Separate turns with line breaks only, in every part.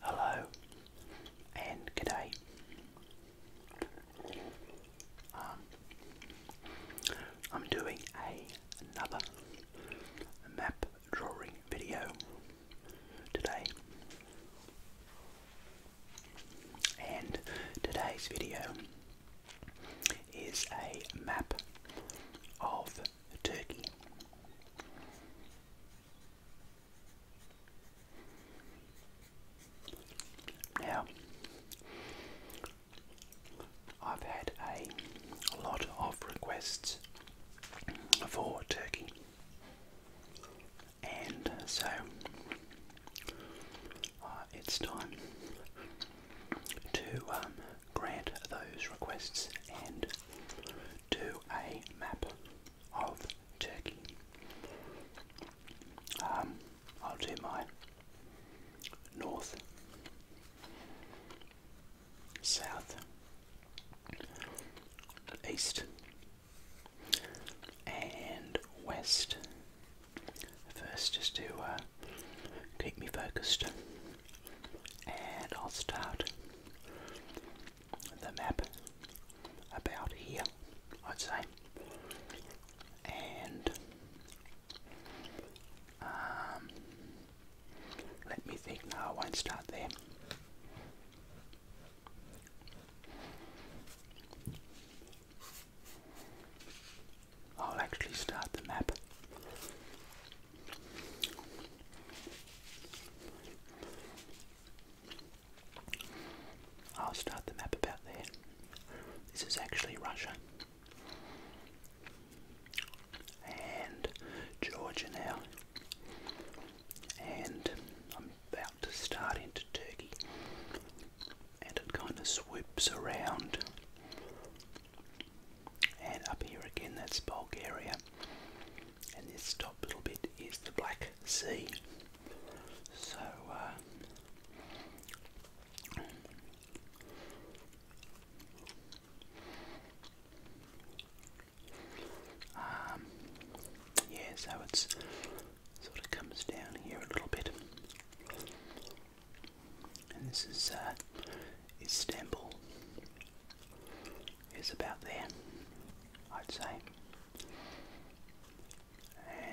Hello and good day. Um, I'm doing another map drawing video today, and today's video is a map of Turkey. Now, I've had a lot of requests for turkey, and so uh, it's time to um, grant those requests and do a map of Turkey. Um, I'll do my north, south, east, and west first just to uh, keep me focused. And I'll start the map about here, I'd say, and um, let me think. No, I won't start there. I'll actually start the map I'll start the map about there. This is actually Russia. And Georgia now. And I'm about to start into Turkey. And it kind of swoops around. And up here again, that's Bulgaria and this top little bit is the Black Sea. So, uh, um, yeah, so it's sort of comes down here a little bit, and this is uh, Istanbul is about there, I'd say.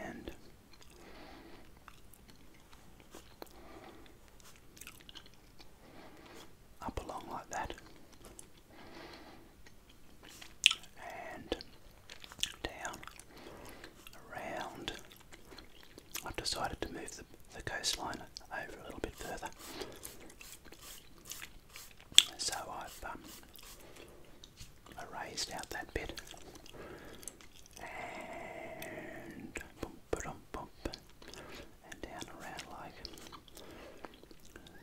And up along like that, and down around. I've decided to move the, the coastline over a little bit further so I've um, erased out that bit and down around like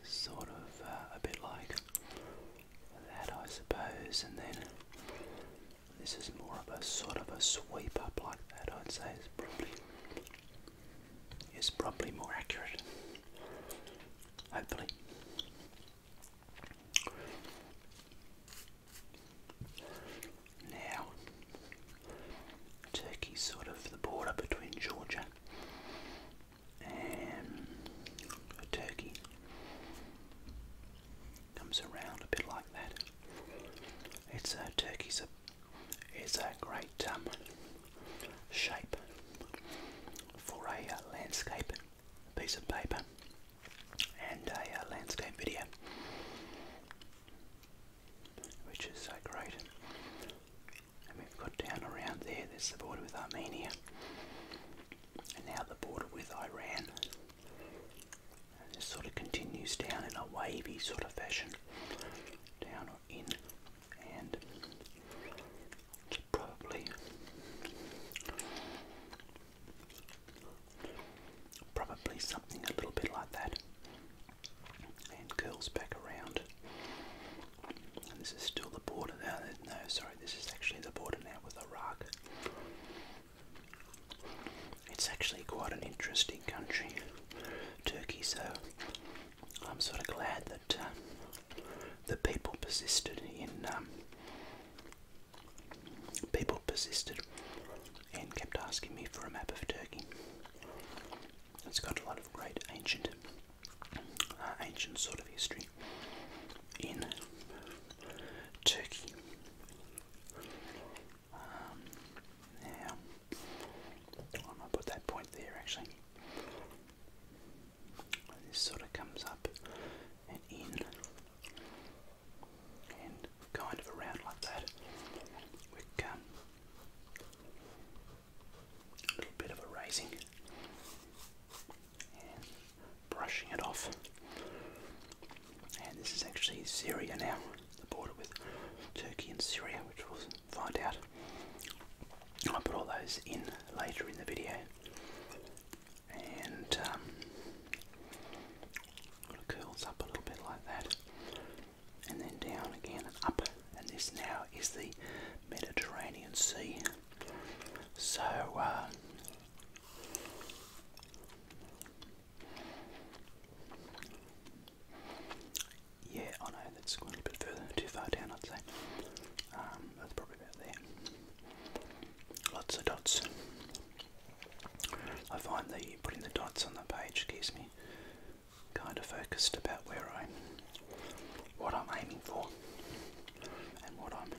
sort of uh, a bit like that, I suppose. And then this is more of a sort of a sweep up like that. I'd say it's probably is probably more accurate. Hopefully. Now, Turkey's sort of the border between Georgia and Turkey. Comes around a bit like that. It's uh, Turkey's a is a great um, shape for a uh, landscape piece of paper and a uh, landscape video, which is so great. And we've got down around there, there's the border with Armenia, and now the border with Iran. And this sort of continues down in a wavy sort of fashion, down in and probably probably something a little bit like that and curls back around this is still the border now no sorry this is actually the border now with Iraq it's actually quite an interesting country Turkey so I'm sort of glad that. Um, the people persisted in um, people persisted and kept asking me for a map of Turkey. It's got a lot of great ancient, uh, ancient sort of history in Turkey. Um, now, I put that point there actually. This sort of comes up and in and kind of around like that. We come a little bit of a raising brushing it off. And this is actually Syria now, the border with Turkey and Syria, which was find out. I'll put all those in later in the video. And um, it curls up a little bit like that. And then down again and up. And this now is the Mediterranean Sea. So, uh, yeah, I know that's going a bit further, too far down, I'd say. Um, that's probably about there. Lots of dots. I find that putting the dots on the page keeps me kind of focused about where I'm, what I'm aiming for, and what I'm,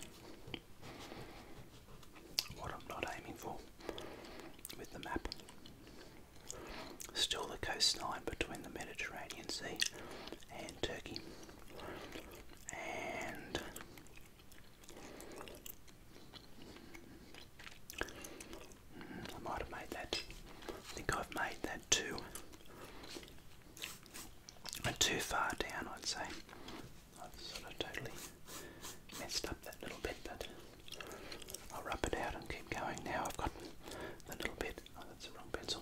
what I'm not aiming for with the map. Still the coastline between the Mediterranean Sea and turkey and I might have made that. I think I've made that too. Too far down, I'd say. I've sort of totally messed up that little bit, but I'll rub it out and keep going. Now I've got the little bit Oh, that's the wrong pencil.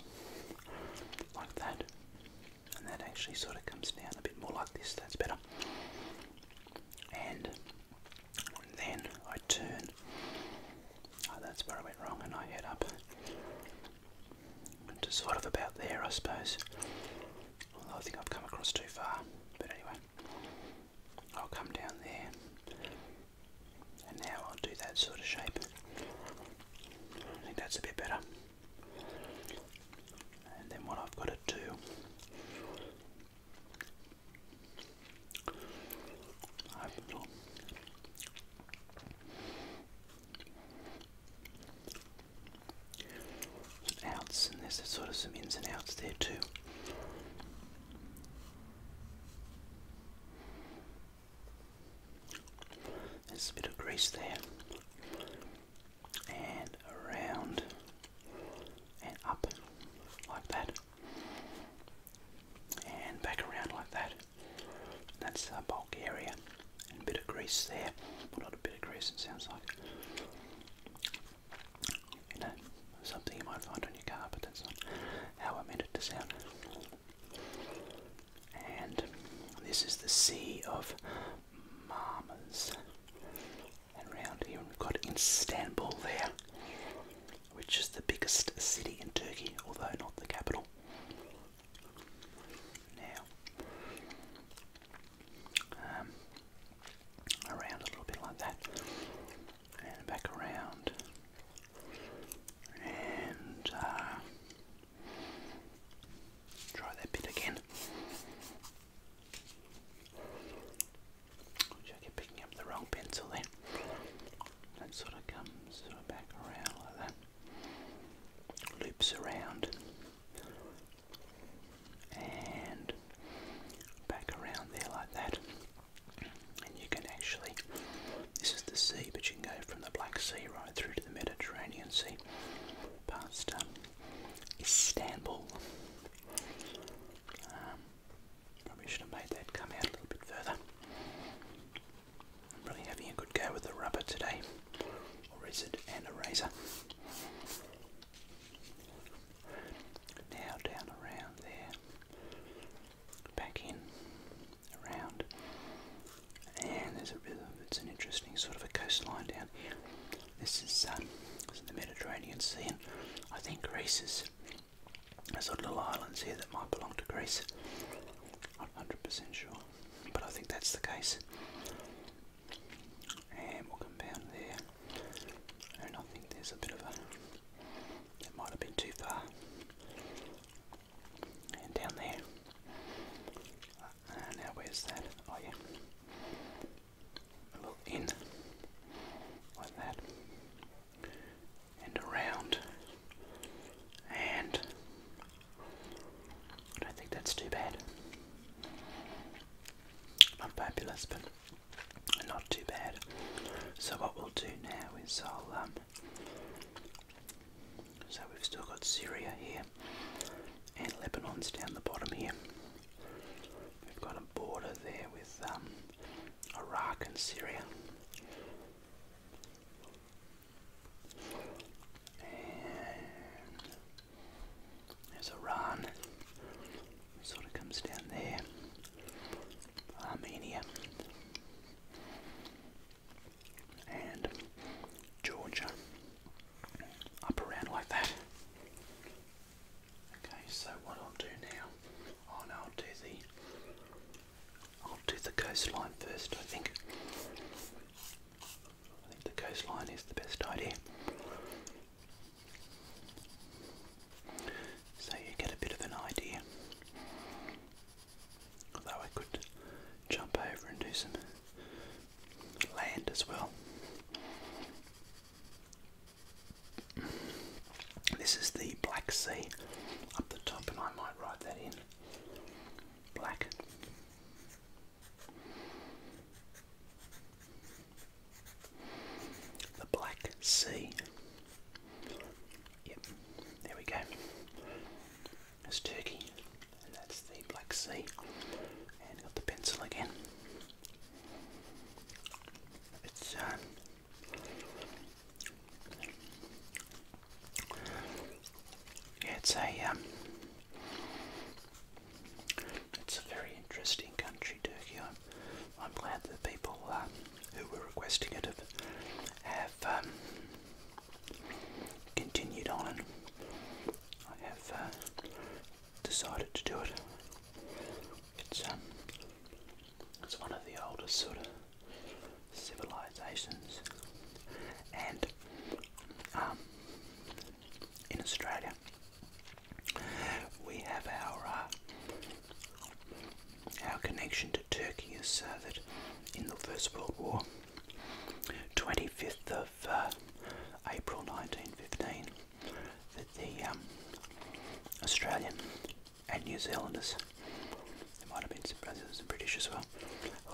Like that. And that actually sort of comes down a bit more like this. That's better. And then I turn. Oh, that's where I went wrong, and I head up to sort of about there, I suppose. Although I think I've come across too far. But anyway, I'll come down there and now I'll do that sort of shape. I think that's a bit better. And then what I've got to do, I've some outs, and there's sort of some ins and outs there too. There's a bit of grease there. And around and up like that. And back around like that. That's our bulk area. And a bit of grease there. Well, not a bit of grease, it sounds like. You know, something you might find on your car, but that's not how I meant it to sound. And this is the Sea of Marmars. And around here we've got Istanbul there, which is the biggest city in Turkey, although not the capital. Now, um, around a little bit like that, and back around, and uh, Try that bit again. Which I keep picking up the wrong pencil then. That sort of comes back around like that. Loops around and back around there like that. And you can actually, this is the sea, but you can go from the Black Sea right through the Mediterranean Sea, past um, Istanbul. Um, probably should have made that come out a little bit further. really having a good go with the rubber today, or is it an eraser? Now down around there, back in, around, and there's a river. It's an interesting sort of a coastline down here. This is, um, the Mediterranean Sea, and I think Greece is. There's sort of little islands here that might belong to Greece. I'm not 100% sure, but I think that's the case. And we'll come down there, and I think there's a bit of a. It might have been too far. And down there, now where's that? Oh yeah. A little in. Like that. And around. And I don't think that's too bad. Not fabulous, but not too bad. So what we'll do now is I'll um so we've still got Syria here, and Lebanon's down the bottom here. We've got a border there with um, Iraq and Syria. And there's Iran, sort of comes down there. Armenia and Georgia up around like that. Okay, so what I'll do now, oh I'll do the I'll do the coastline first, I think. I think the coastline is the best idea. So you get a bit of an idea Although I could jump over and do some land as well. This is the Black Sea up the top, and I might write that in black. The Black Sea. Yep, there we go is Turkey, and that's the Black Sea. And got the pencil again. It's um, it's a um, it's a very interesting country, Turkey. I'm, I'm glad that people uh, who were requesting it have, um, continued on, I have uh, decided to do it. It's um, one of the oldest sort of civilizations, and um, in Australia we have our uh, our connection to Turkey is uh, that in the First World War. 25th of uh, April 1915 that the um, Australian and New Zealanders, there might have been some and British as well,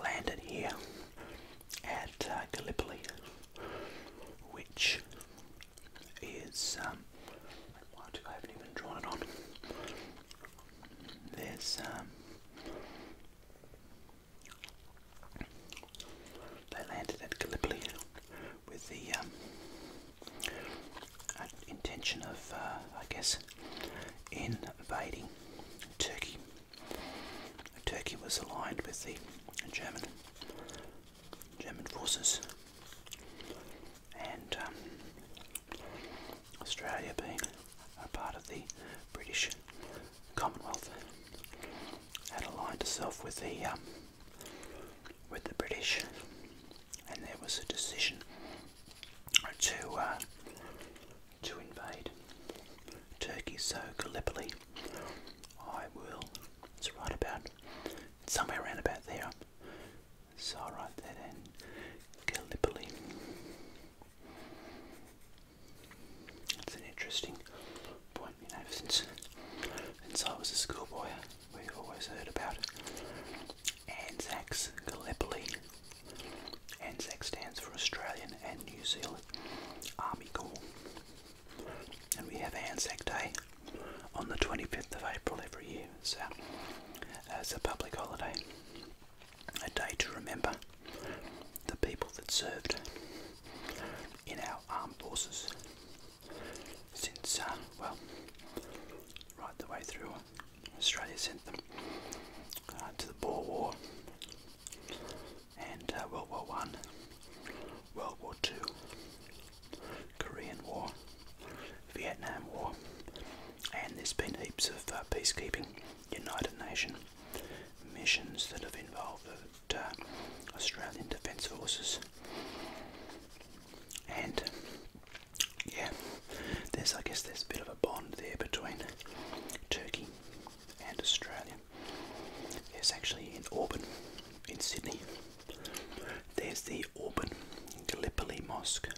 landed here at uh, Gallipoli, which is, um, what, I haven't even drawn it on, there's um, they landed at Gallipoli with the um, uh, intention of, uh, I guess, invading Turkey. Turkey was aligned with the German German forces, and um, Australia being a part of the British Commonwealth had aligned itself with the um, with the British, and there was a decision to uh, to invade Turkey. So Gallipoli, I will. It's right about somewhere around about there. So I'll write that in Gallipoli. It's an interesting point, you know, since, since I was a schoolboy, we always heard about ANZAC's Gallipoli. ANZAC stands for Australian and New Zealand Army Corps. And we have ANZAC Day on the 25th of April every year, so uh, it's a public holiday a day to remember the people that served in our armed forces since, uh, well, right the way through Australia sent them uh, to the Boer War and uh, World War One, World War Two, Korean War, Vietnam War, and there's been heaps of peacekeeping United Nations missions that have involved uh, Australian Defence Forces. And yeah, there's I guess there's a bit of a bond there between Turkey and Australia. Yes, actually in Auburn, in Sydney, there's the Auburn Gallipoli Mosque.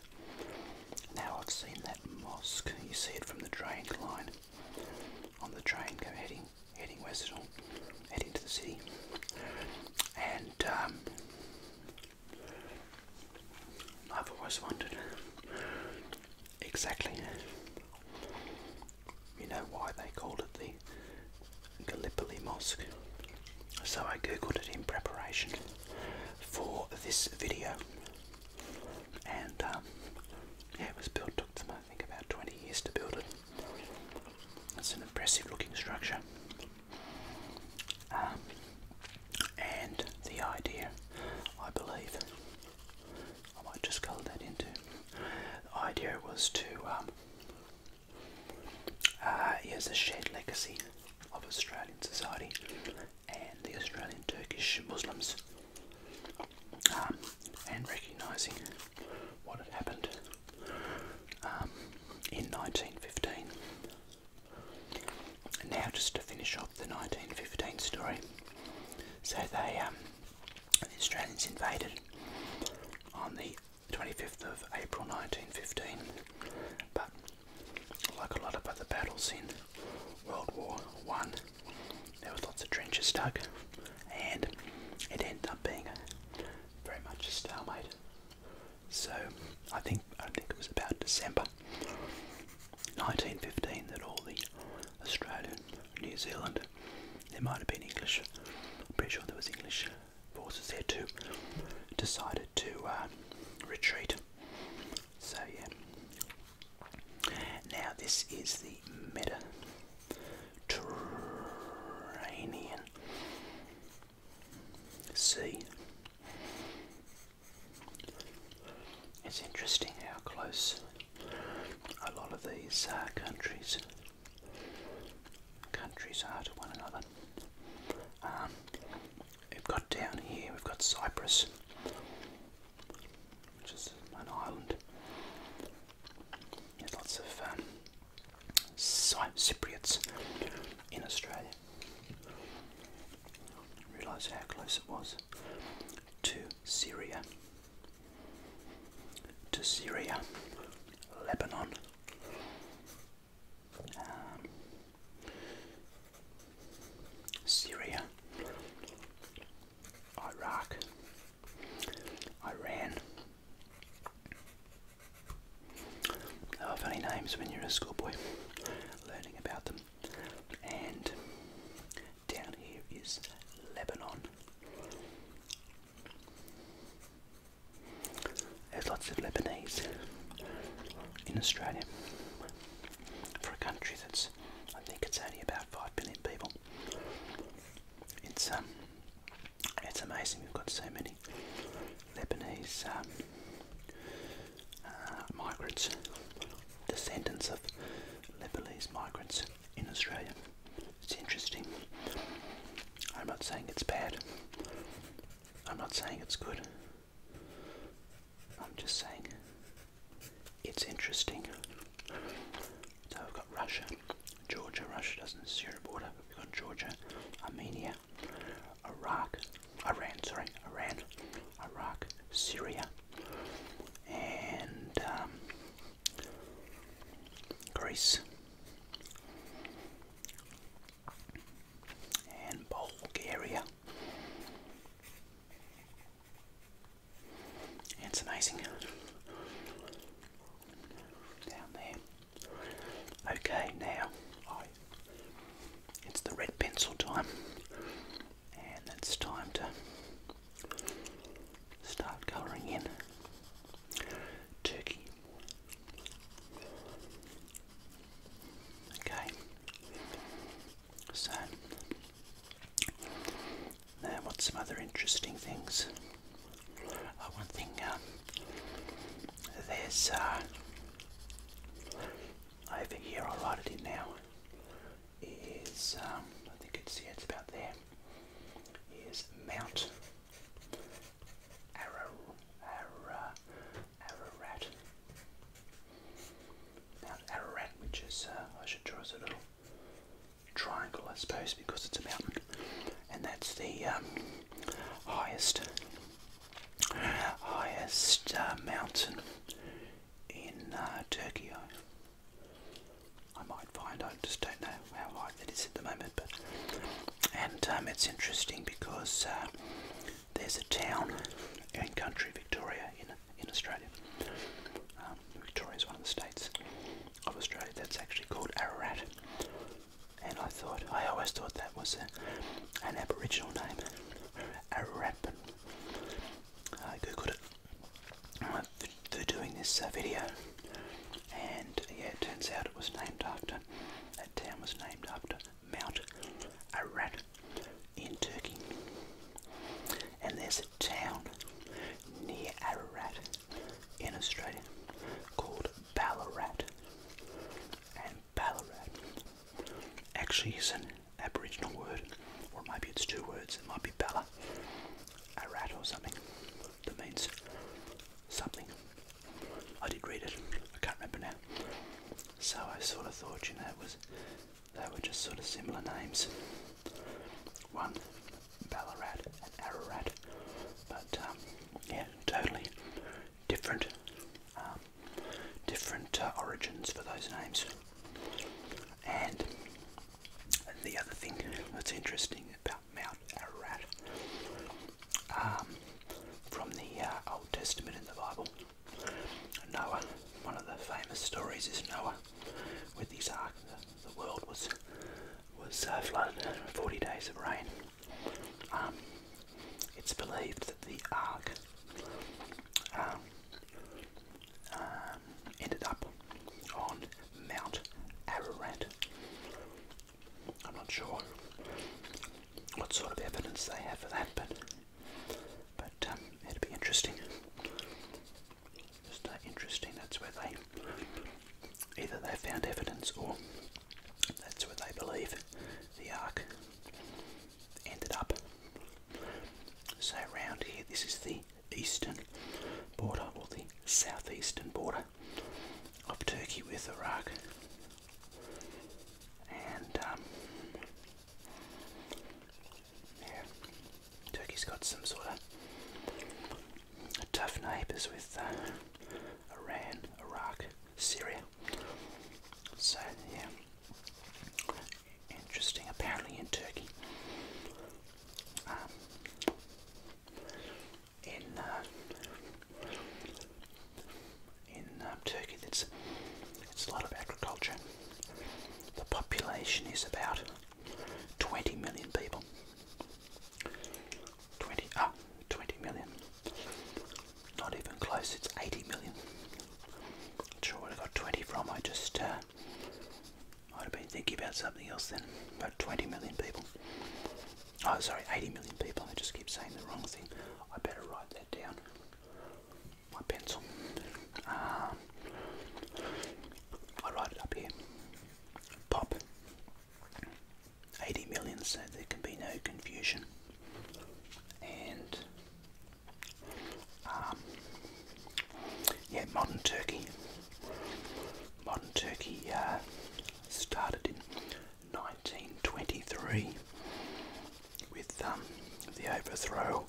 Now I've seen that mosque, you see it from the train line on the train, go heading heading west, heading to the city, and um, I've always wondered exactly, you know, why they called it the Gallipoli Mosque. So I googled it in preparation for this video, and um, it was built, took them, I think, about 20 years to build it. It's an impressive looking structure. Um, and the idea, I believe, I might just colour that into. The idea was to, use um, uh, a shared legacy of Australian society and the Australian Turkish Muslims um, and recognising what had happened um, in 1915. now, just to finish off the 1915 story, so um, the Australians invaded on the 25th of April 1915, but like a lot of other battles in World War One, there was lots of trenches dug, and it ended up being very much a stalemate. So I think I think it was about December 1915 that all the Australian, New Zealand, there might have been English. I'm pretty sure there was English forces there too. Decided to uh, retreat. So yeah, now, this is the Mediterranean Sea. It's interesting how close a lot of these uh, countries countries are to one another. Um, we've got down here, we've got Cyprus, which is an island. There's lots of um, Cypriots in Australia. Realise how close it was to Syria, to Syria, Lebanon. Um, Syria, Iraq, Iran. There funny names when you're a schoolboy, learning about them. And down here is Lebanon. There's lots of Lebanese in Australia for a country that's, I think it's only about 5 billion people. It's um, it's amazing. We've got so many Lebanese um, uh, migrants, descendants of Lebanese migrants in Australia. It's interesting. I'm not saying it's bad. I'm not saying it's good. I'm just saying it's interesting. So we've got Russia, Georgia, Russia doesn't share a border. We've got Georgia, Armenia, Iraq, Iran, sorry, Iran, Iraq, Syria, and um, Greece, and Bulgaria. It's some icing down there. Okay, now it's the red pencil time, and it's time to start colouring in turkey. Okay, so and what's some other interesting things? Uh, one thing, um, there's uh, over here, I'll write it in now, is, um, I think it's, yeah, it's about there, is Mount Arar Ararat. Mount Ararat, which is, uh, I should draw us a little triangle, I suppose, because it's a mountain, and that's the um, highest highest uh, mountain in uh, Turkey. I, might find. I just don't know how high that is at the moment, but and um, it's interesting because uh, there's a town in country Victoria in in Australia. Um, Victoria is one of the states, of Australia that's actually called Ararat. And I thought, I always thought that was an Aboriginal name, Ararat, but I googled it uh, for, doing this uh, video. And yeah, it turns out it was named after, that town was named after Mount Ararat in Turkey and there's a town near Ararat in Australia called Ballarat. And Ballarat actually is an Aboriginal word, or maybe it's two words, it might be Bella Arat or something that means something. I did read it, I can't remember now. So I sort of thought, you know, it was they were just sort of similar names. One Ballarat Ararat. But um, yeah, totally different, um, different uh, origins for those names. And the other thing that's interesting about Mount Ararat, um, from the uh, Old Testament in the Bible, Noah. One of the famous stories is Noah with his ark, the world was was uh, flooded in 40 days of rain. Um, it's believed that the ark um, um, ended up on Mount Ararat. I'm not sure what sort of evidence they have for that, but but it'd be interesting. Uh, interesting? That's where they either they found evidence or that's where they believe the ark ended up. So around here, this is the eastern border or the southeastern border of Turkey with Iraq, and um, yeah, Turkey's got some sort of tough neighbours with uh, Iran, Iraq, Syria. So, yeah, interesting. Apparently, in Turkey, um, in uh, in um, Turkey, it's it's a lot of agriculture. The population is about 20 million people. 20, ah, 20 million. Not even close, it's 80 million. Not sure where I got 20 from, I just uh, might have been thinking about something else then. About 20 million people. Oh, sorry, 80 million people. I just keep saying the wrong thing. I better write that down. My pencil. Um, I write it up here. Pop. 80 million, so there can be no confusion. And um, yeah, modern Turkey. Modern Turkey uh, started in 1923 with um, the overthrow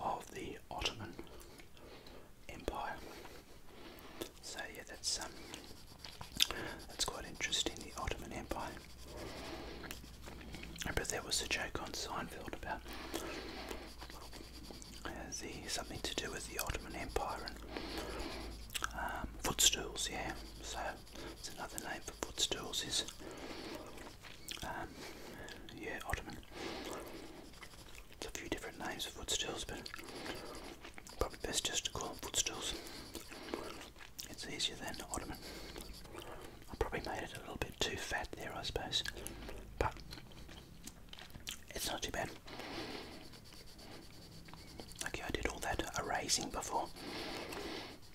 of the Ottoman empire. So yeah, that's um, that's quite interesting. The Ottoman Empire. But there was a joke on Seinfeld about uh, the something to do with the Ottoman Empire and um, footstools. Yeah, so it's another name for footstools. Is um, yeah, Ottoman. It's a few different names for footstills, but probably best just to call them footstills. It's easier than ottoman. I probably made it a little bit too fat there, I suppose, but it's not too bad. Okay, I did all that erasing before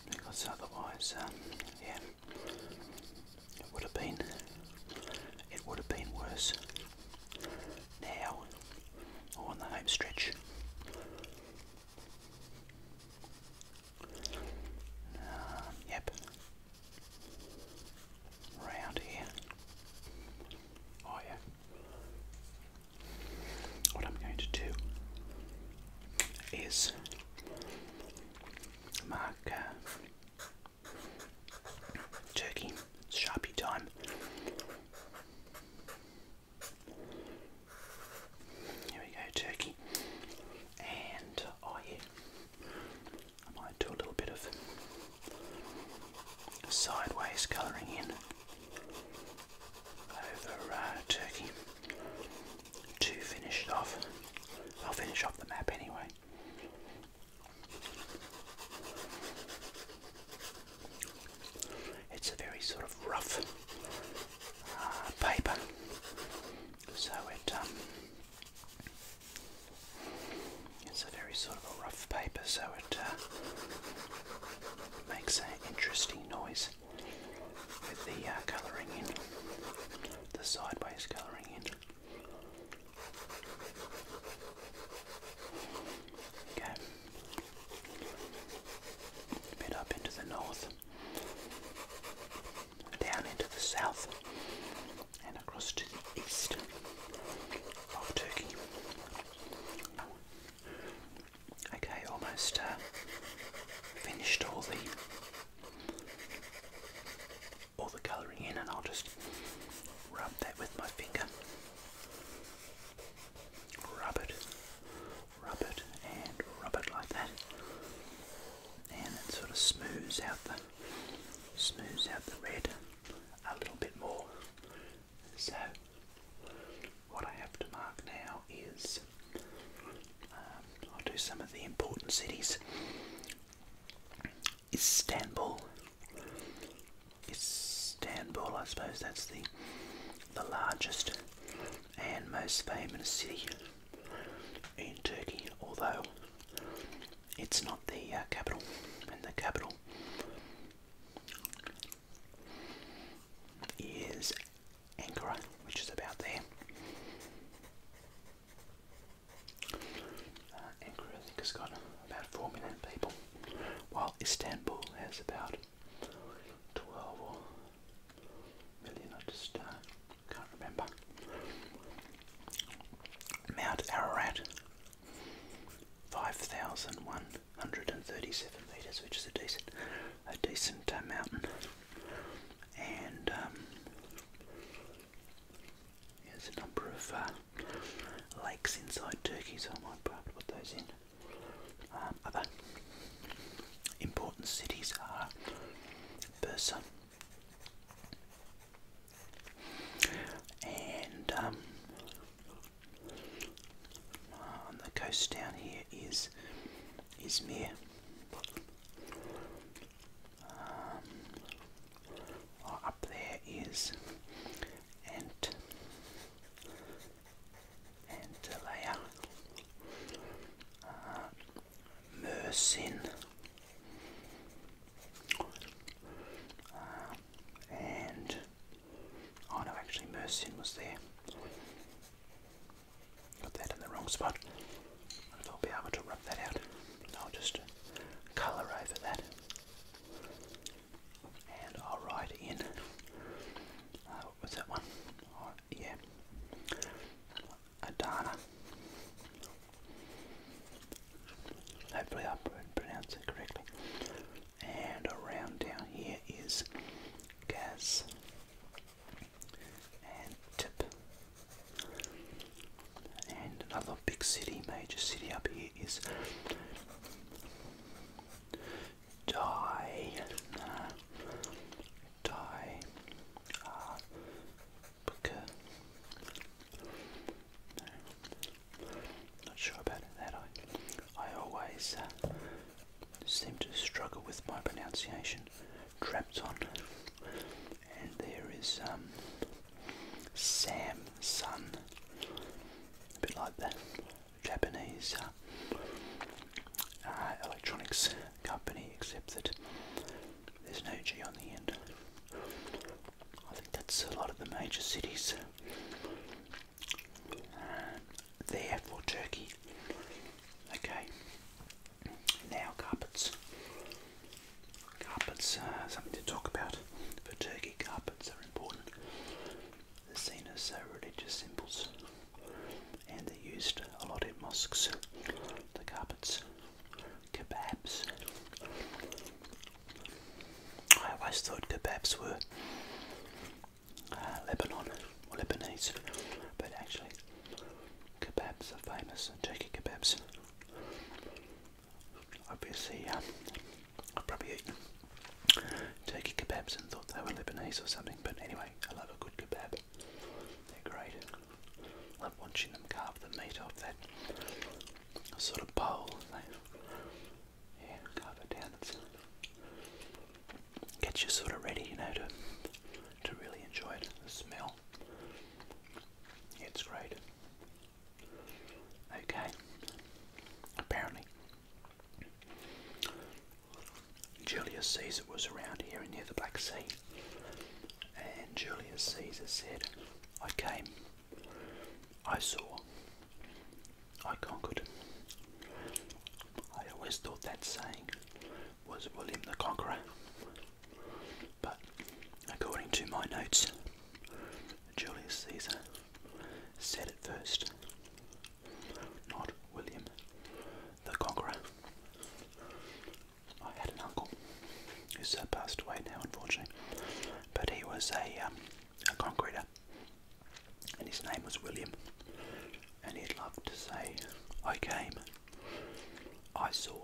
because otherwise, um, yeah, it would have been it would have been worse now on the home stretch. Um, yep. Round here. Oh yeah. What I'm going to do is mark uh, Turkey, Sharpie time. Here we go, turkey. And oh, I might do a little bit of sideways colouring in over uh, turkey to finish off. I'll finish off the map anyway. It's a very sort of rough uh, paper, so it um, it's a very sort of a rough paper, so it uh, makes an interesting noise with the uh, colouring in, the sideways colouring in. Okay. bit up into the north, down into the south, and across to the east of Turkey. Okay, almost uh, finished all the all the colouring in, and I'll just rub that with my finger. Rub it, rub it, and rub it like that, and it sort of smooths out the smooths out the red a little bit more. So what I have to mark now is um, I'll do some of the important cities. Istanbul. Istanbul, I suppose that's the the largest and most famous city in Turkey, although it's not the uh, capital. And the capital is Ankara, which is about there. Uh, Ankara, I think, has got about four million people while Istanbul has about 12 or I just uh, can't remember. Mount Ararat, 5,137 meters, which is a decent, a decent uh, mountain. And um, there's a number of uh, lakes inside Turkey, so I might be put those in. Um, other important cities are Bursa and um, uh, on the coast down here is Izmir. Um, oh, up there is Ant and layer uh, uh, and oh no actually Mersin was there got that in the wrong spot I'll be able to rub that out I'll just colour over that and I'll write in. Uh, that one? Oh, yeah, Adana. Hopefully, I pronounced it correctly. And around down here is Gaz and Tip. And another big city, major city up here is die, uh, die, uh, Booker. No, not sure about it, that I, I always uh, seem to struggle with my pronunciation. Trapton, and there is um, Sam Sun, a bit like that. Japanese uh, uh, electronics company, except that there's no G on the end. I think that's a lot of the major cities. Uh, there for Turkey. Okay. Now carpets. Carpets, uh, something to talk about. For Turkey, carpets are important. The scene seen so religious symbols and they used a lot in mosques, the carpets, kebabs. I always thought kebabs were uh, Lebanon or Lebanese, but actually kebabs are famous, Turkey kebabs. Obviously, um, I've probably eaten turkey kebabs and thought they were Lebanese or something, but anyway, I love a good kebab. They're great. I love watching them carve the meat off that sort of bowl. They, yeah, carve it down. It's, gets you sort of ready, you know, to, to really enjoy The smell. it's great. Okay. Apparently, Julius Caesar was around here and near the Black Sea, and Julius Caesar said, I came, I saw, I conquered. I always thought that saying was William the Conqueror, but according to my notes, Julius Caesar said it first, not William the Conqueror. I had an uncle who's passed away now, unfortunately, but he was a, um, a concreter, and his name was William. And he'd love to say, I came, I saw,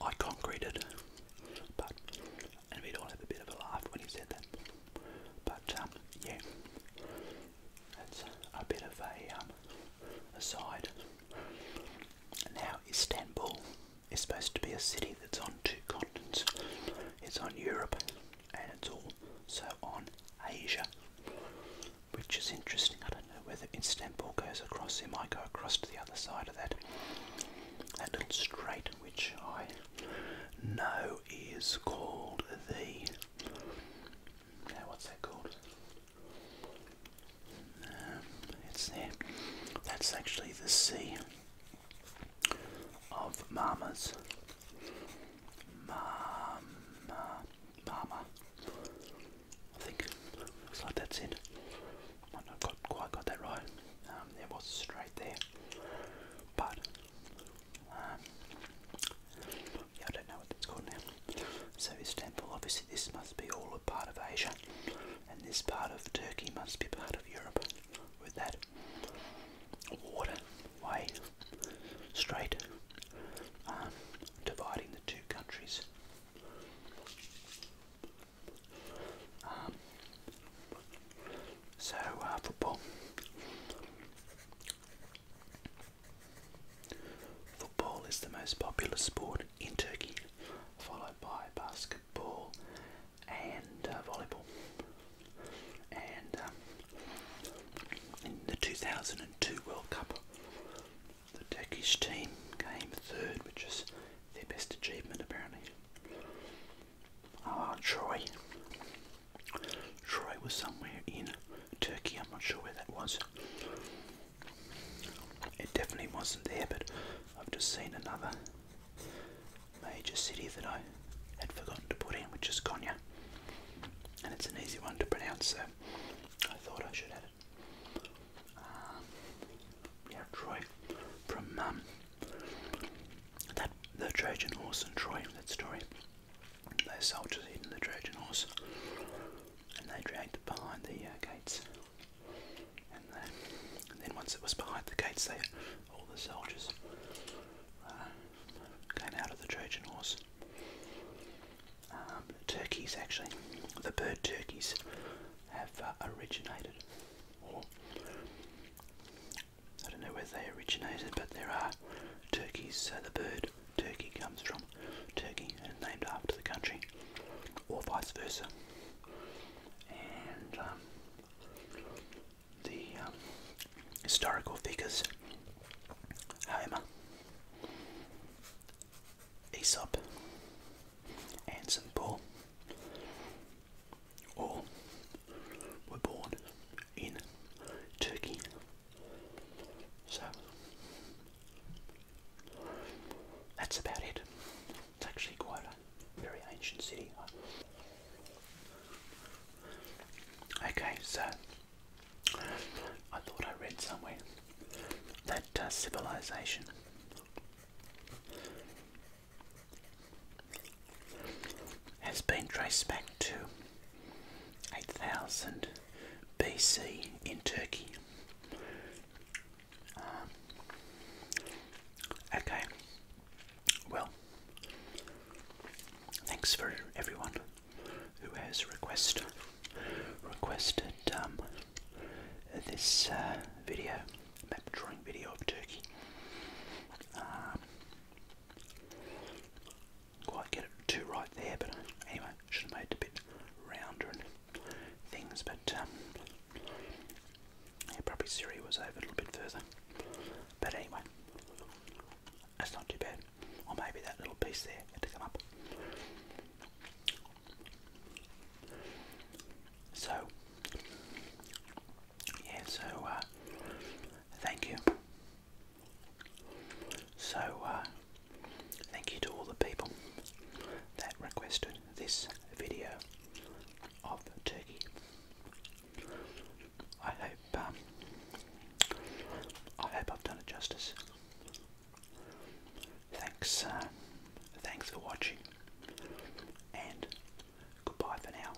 I conquered." and we'd all have a bit of a laugh when he said that. But um, yeah, that's a bit of a um, aside. Now Istanbul is supposed to be a city that's on two continents. It's on Europe and it's also on Asia, which is interesting. I don't know whether Istanbul goes across. It might go across to the other side of that that little strait, which I know is called the. what's that called? Um, it's there. That's actually the sea of mamas. Mama, mama. I think looks like that's it. Might not quite got that right. Um, was straight there, but um, yeah, I don't know what it's called now. So Istanbul, obviously this must be all a part of Asia, and this part of Turkey must be part of Europe, with that water way straight um, dividing the two countries. Um, so, uh, football. Football is the most popular sport in Turkey, followed by basketball and uh, volleyball. And um, in the 2002 World Cup, the Turkish team came third, which is their best achievement apparently. Ah, Troy. Troy was somewhere in Turkey, I'm not sure where that was. It definitely wasn't there, but I've just seen another major city that I had forgotten to put in, which is Konya. And it's an easy one to pronounce, so I thought I should add it. Um, yeah, Troy from um, that the Trojan horse and Troy, that story. Those soldiers hidden the Trojan horse, and they dragged it behind the uh, gates. Uh, and, then once it was behind the gates, they all the soldiers uh, came out of the Trojan horse. Um, turkeys, actually, the bird turkeys have originated, I don't know where they originated, but there are turkeys. So the bird turkey comes from Turkey and named after the country, or vice versa. And um, the um, historical figures Homer, Aesop, and St. Paul or were born in Turkey. So that's about it. It's actually quite a very ancient city. Okay, so I thought I read somewhere that uh, civilization has been traced back to 8000 BC in Turkey. Um, okay, well, thanks for everyone who has request, requested um, this uh, video, map drawing video of Turkey. Um, quite get it too right there, but anyway, should have made it a bit rounder and things, but um, yeah, probably Siri was over a little bit further. But anyway, that's not too bad. Or maybe that little piece there to come up. So, yeah, so uh, thank you so, uh, thank you to all the people that requested this video of turkey. I hope um, I hope I've done it justice. Thanks, uh, thanks for watching, and goodbye for now.